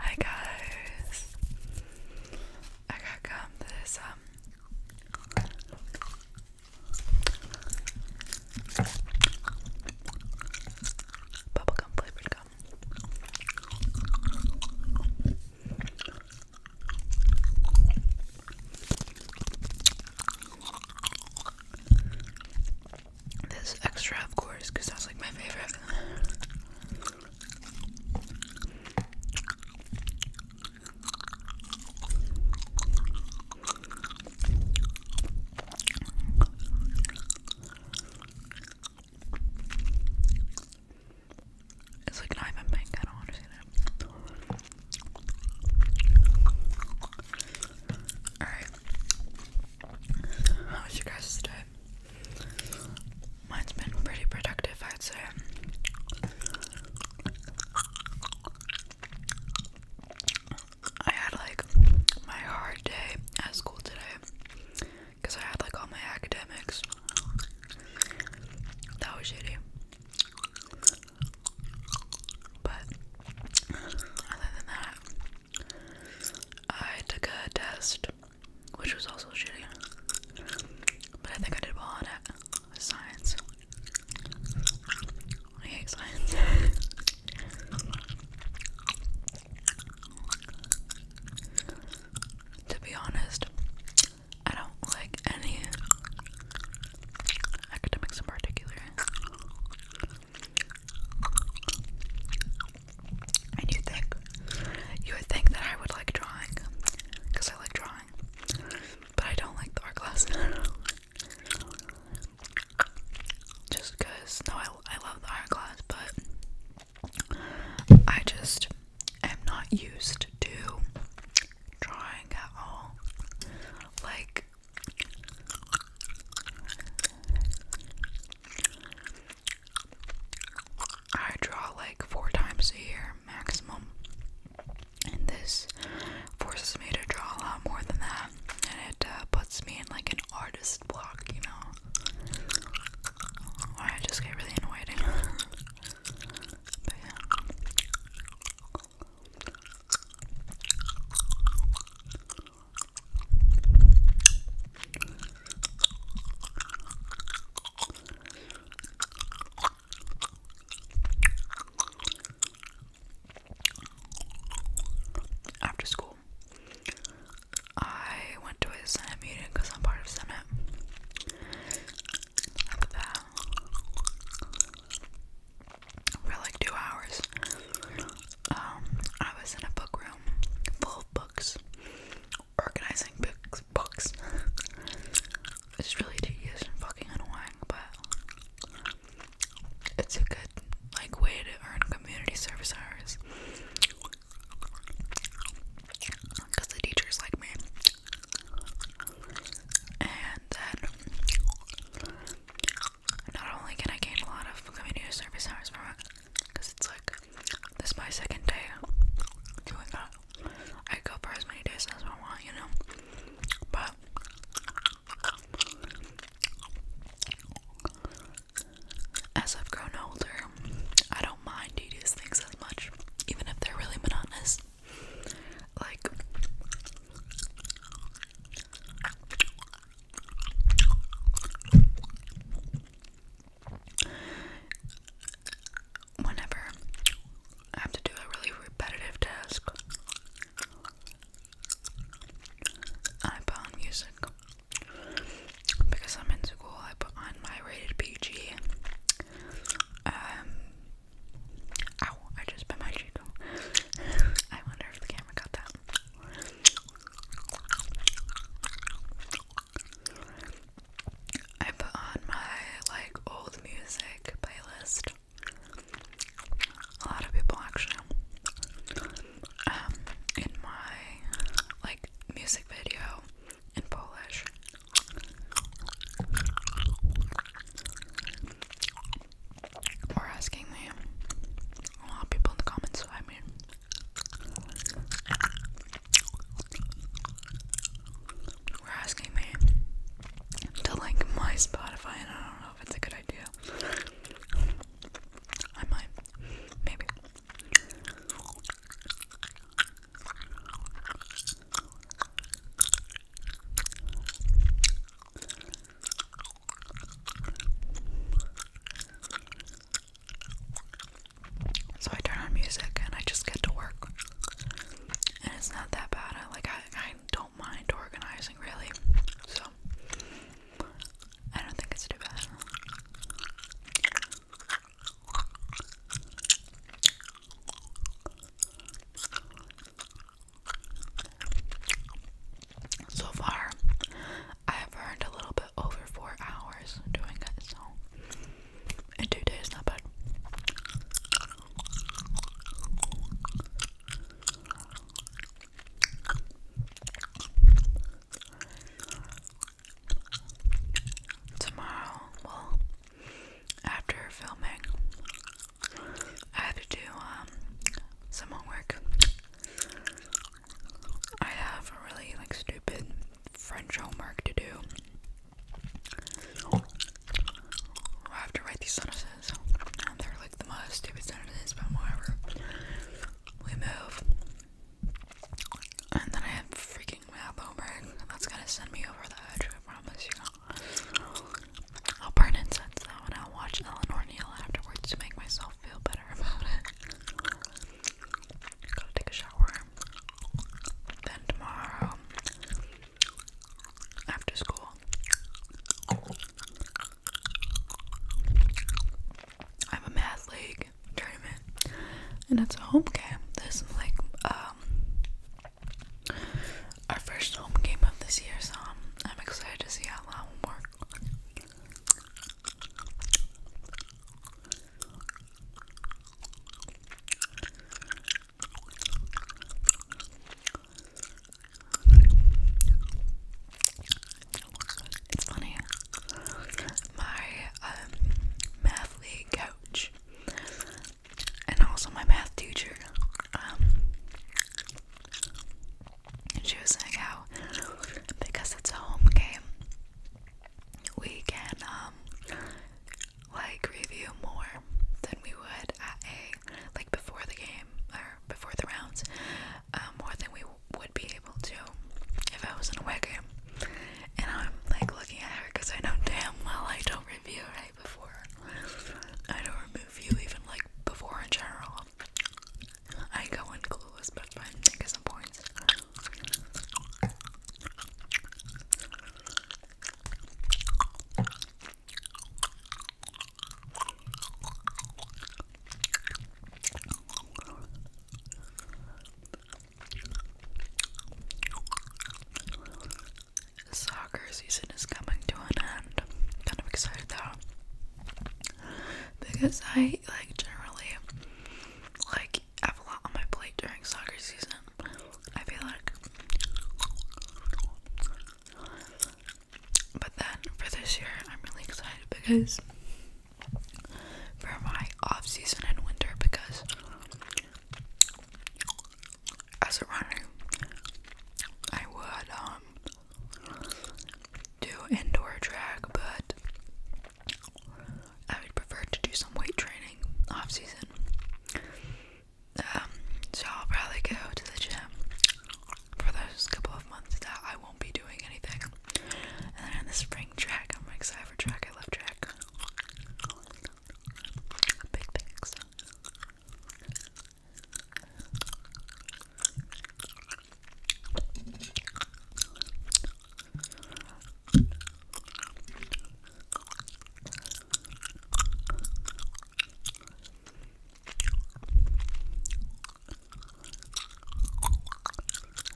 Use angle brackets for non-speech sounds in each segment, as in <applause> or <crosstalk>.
Hi guys. I got gum that is um bubblegum flavored gum. This extra, of course, because that's like my favorite. It's like not even pink, I don't understand it. Alright. How was your guys' day? Mine's been pretty productive, I'd say. I had like my hard day at school today because I had like all my academics. That was shitty. But other than that, I took a test, which was also shitty, but I think I did well on it. science. I science. <laughs> to be honest, I don't like any academics in particular. And you think you would think that I would like drawing, because I like drawing, but I don't like the art class. <laughs> just because, no, I, I love the art class, but I just am not used to drawing at all. Like, I draw like four times a year maximum, and this forces me to draw a lot more than that, and it uh, puts me in like an artist block, you know. I just get really annoyed. <laughs> After school, I went to a Senate meeting because I'm part of Senate for like two hours. Um, I was in a book room full of books, organizing books. Books. <laughs> it's really tedious and fucking annoying, but it's a good like way to earn community service hours. Cause the teachers like me, and then not only can I gain a lot of community service hours from it, because it's like this is my second day doing that. I go for as many days as I want, you know. But as I've grown older, I don't mind tedious things as much, even if they're really monotonous. Like Whenever I have to do a really repetitive task, I put on music. Because I'm in school, I put on my rated PG um, Ow, I just bit my cheek. I wonder if the camera got that. I put on my like old music playlist. A lot of people actually. Um, in my like music video in Polish or asking me. A lot of people in the comments, so I mean. We're asking me to like my Spotify, and I don't know if it's a good idea. I might, maybe. So I turn on music and I just get to work. And it's not that bad. I like I, I don't mind organizing really. So I don't think it's too bad. So far, I've earned a little bit over four hours doing it, so in two days, not bad. Tomorrow, well, after filming, I have to do um, some homework. I have really like stupid French homework to do. I have to write these sentences. they're like the most stupid sentences, but whatever. We move. And then I have freaking math homework. That's gonna send me over the edge, I promise you. I'll burn incense though, and I'll watch Eleanor Neal afterwards to make myself feel better about it. Gotta take a shower. Then tomorrow, after school, I have a math league tournament, and it's a home game. This is like um, our first home game of this year, so I'm excited to see how that will work. It's funny. My um, math league coach and also my math teacher. Um, she was saying how because it's a home game, we can um like review more than we would at a like before the game or before the rounds, um, more than we would be able to if I was in a away game. And I'm like looking at her because I know damn well I don't review right before I don't remove you even like before in general. I go in clueless, but it's fine, I get soccer season is coming to an end. I'm kind of excited though. Because I like generally like have a lot on my plate during soccer season. I feel like but then for this year I'm really excited because for my off season and winter because as a runner, I would um do indoor track, but I would prefer to do some weight training off season. Um, so I'll probably go to the gym for those couple of months that I won't be doing anything. And then in the spring track, I'm excited for track. I love track.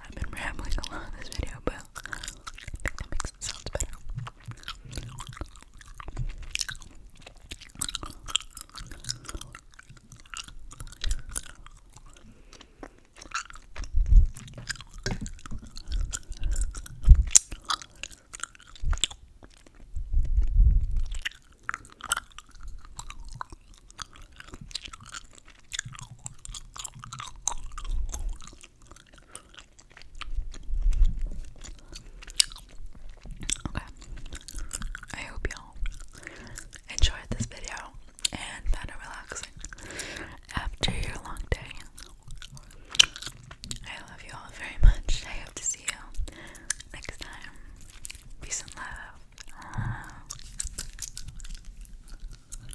I've been rambling a lot in this video, but That makes it sound better. Okay. I hope y'all enjoyed this video and found it relaxing after your long day. I love you all very much. I hope to see you next time. Peace and love.